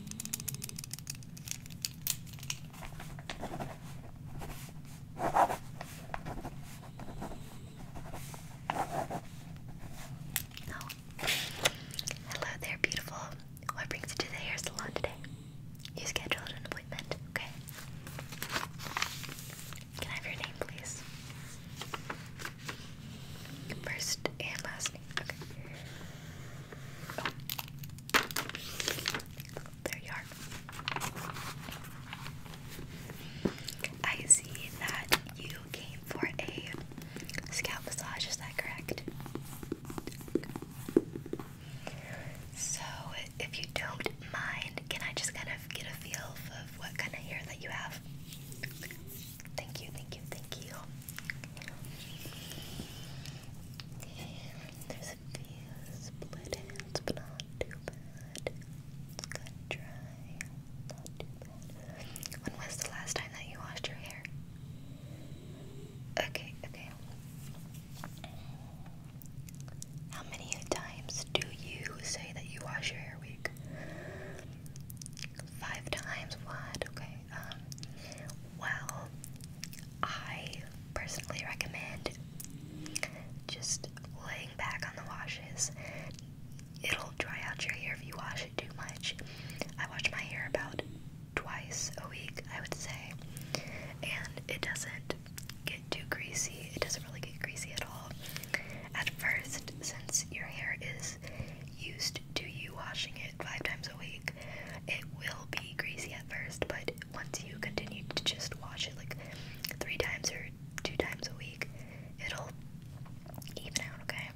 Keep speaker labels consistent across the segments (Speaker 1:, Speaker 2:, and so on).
Speaker 1: Oh. Hello there, beautiful. What brings you to the hair salon today? You scheduled an appointment, okay? Can I have your name, please? First and last Okay, oh. There you are. I see that you came for a scalp massage, is that correct? So, if you don't mind, can I just kind of get a feel of what kind of hair that you have? Thank you, thank you, thank you. There's a few split but not too bad. It's good dry, not too bad. When was the last time that you washed your hair? Okay, okay. How many times do you say that you wash your hair a week? Five times what? Okay. Um, well, I personally recommend just laying back on the washes. It'll dry out your hair if you wash it too much. I wash my hair about twice a week, I would say, and it doesn't get too greasy. It doesn't really get greasy at all. At first, since your hair is used to you washing it five times a week, it will be greasy at first, but once you continue to just wash it like three times or two times a week, it'll even out, okay?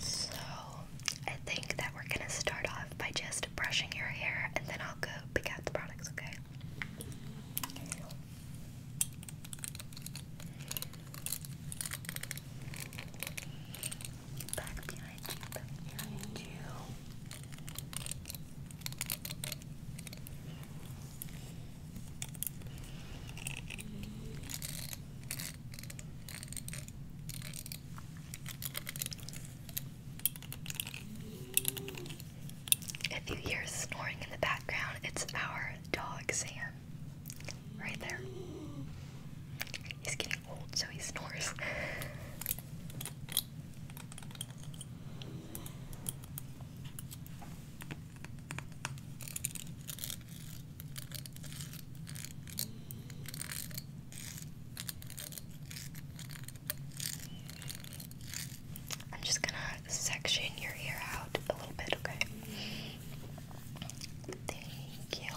Speaker 1: So, I think that we're gonna start off by just brushing your hair and then I'll go pick out the products, okay? If you hear snoring in the background, it's our dog Sam. Right there. He's getting old, so he snores. I'm just gonna section your ear out a little bit, okay? Thank you.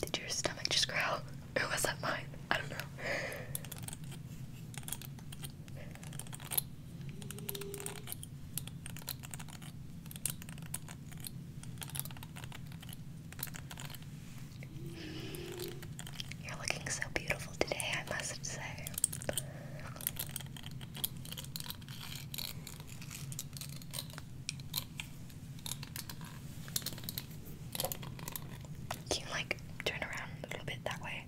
Speaker 1: Did your stomach just growl? Or was that mine? I don't know. You're looking so beautiful today, I must say. Can you like turn around a little bit that way?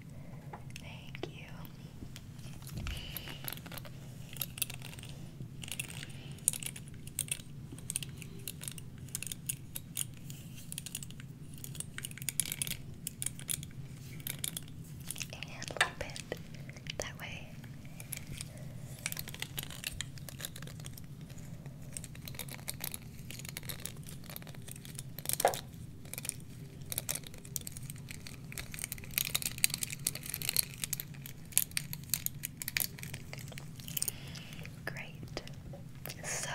Speaker 1: Thank you. And a little bit that way. Great. So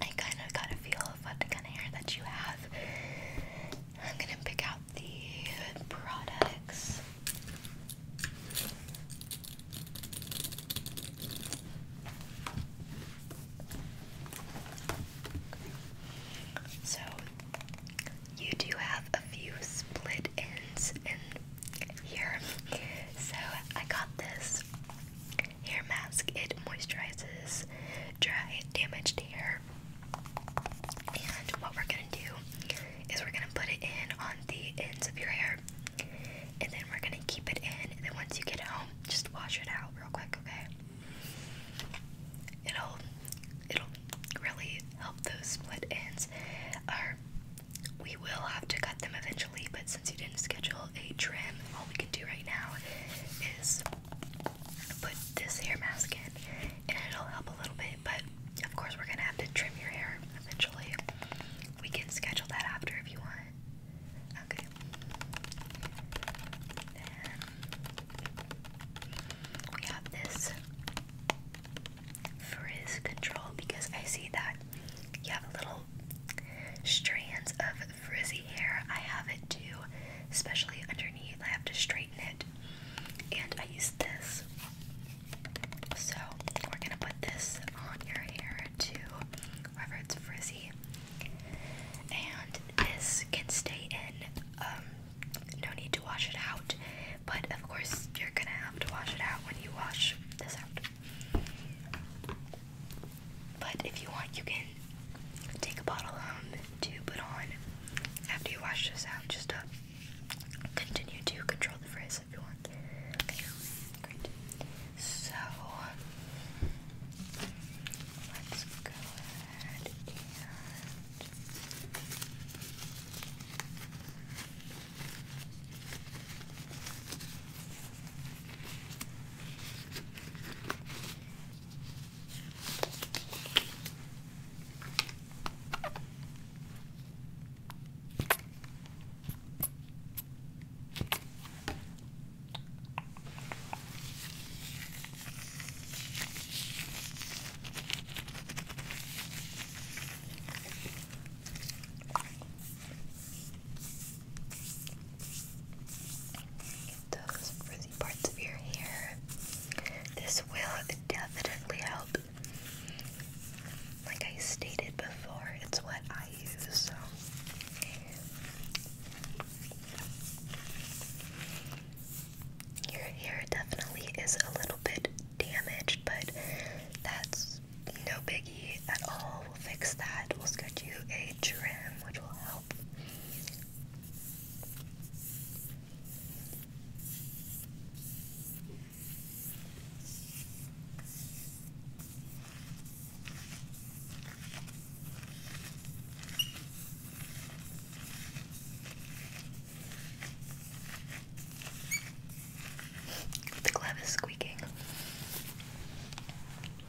Speaker 1: I kind of got a feel of what kind of hair that you have. I'm gonna pick out the products. So you do have a few split ends in here. So I got this hair mask. It moisturizes dry, damaged hair and what we're gonna do is we're gonna put it in on the ends of your hair, and then we're gonna keep it in. And then once you get home, just wash it out real quick, okay? It'll it'll really help those split ends. Or we will have to cut them eventually, but since you didn't schedule a trim, all we can do right now is put this hair mask in and it'll help a little bit, but of course we're gonna have to trim your hair eventually. We can schedule that after if you want. Okay. we have this frizz control because I see that you have little strands of frizzy hair. I have it too, especially under I have to straighten it. And I use this. So we're gonna put this on your hair to wherever it's frizzy. And this can stay in. Um, no need to wash it out. But of course, you're gonna have to wash it out when you wash this out. But if you want, you can take a bottle um, to put on after you wash this out, just continue to control the frizz if you want. Okay, great. So let's go ahead and. It does parts of your hair. This will definitely help. Like I stated before, it's what I use, so. Your hair definitely is a little bit damaged, but that's no biggie at all. We'll fix that. We'll schedule you a trim, which will help. The glove is squeaking.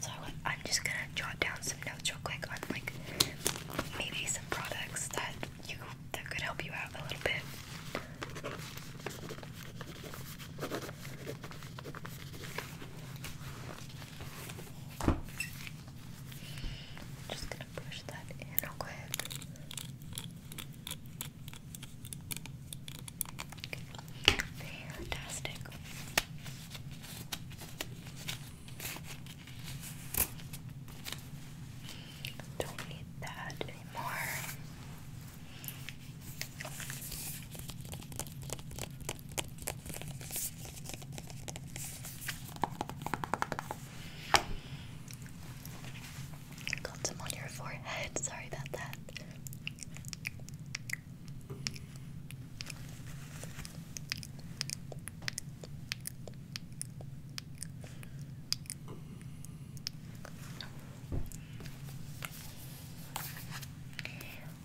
Speaker 1: so I'm just gonna jot down some notes real quick on like maybe some products that you that could help you out a little bit. Just gonna push that in real quick. Fantastic. Don't need that anymore. Got some on your forehead. Sorry about that.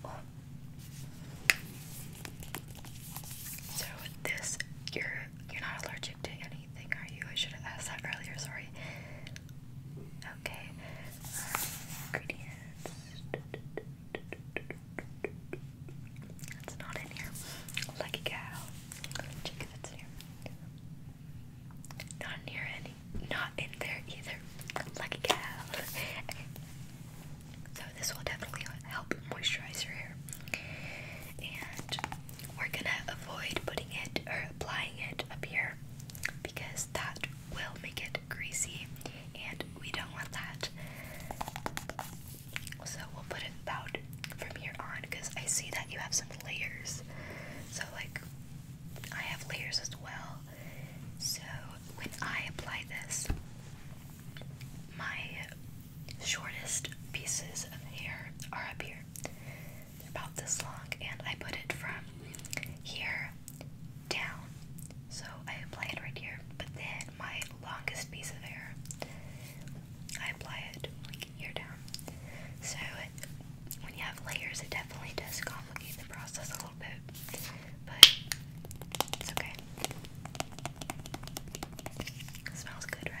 Speaker 1: Oh. So this, you're you're not allergic to anything, are you? I should have asked that earlier. Sorry. Okay. ingredients. It's not in here. Lucky cow. Check if it's in here. Not near any. Not in there either. Like a So this will definitely help moisturize your hair. And we're gonna avoid putting it or applying it up here because that will make it greasy and we don't want that. So we'll put it about from here on because I see that you have some layers. So, like, I have layers as well. So, when I apply this, my shortest pieces of hair are up here. about this long, and I put it from here down. So, I apply it right here, but then my longest piece of hair, I apply it like ear down. So when you have layers, it definitely does complicate the process a little bit, but it's okay. smells good, right?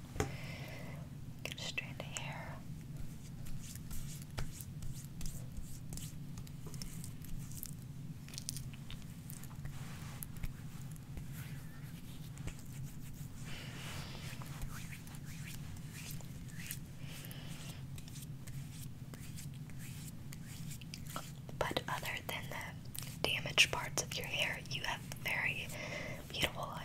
Speaker 1: Get straight hair. But other than the damaged parts of your hair, you have very beautiful liar.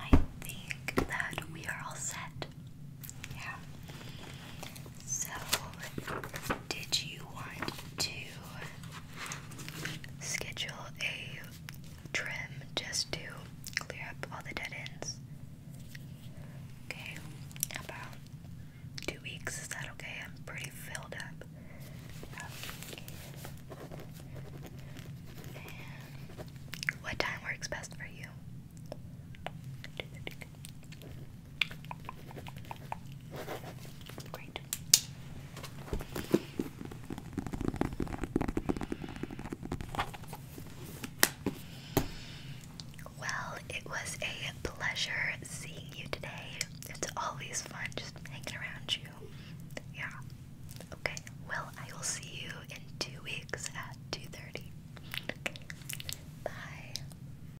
Speaker 1: I think that we are all set. Yeah. So, did you want to schedule a trim just to clear up all the dead ends? Okay, about two weeks. Is that okay? I'm pretty filled up. what time works best for you? Well, it was a pleasure seeing you today. It's always fun just hanging around you. Yeah. Okay. Well, I will see you in two weeks at 2:30. Okay. Bye.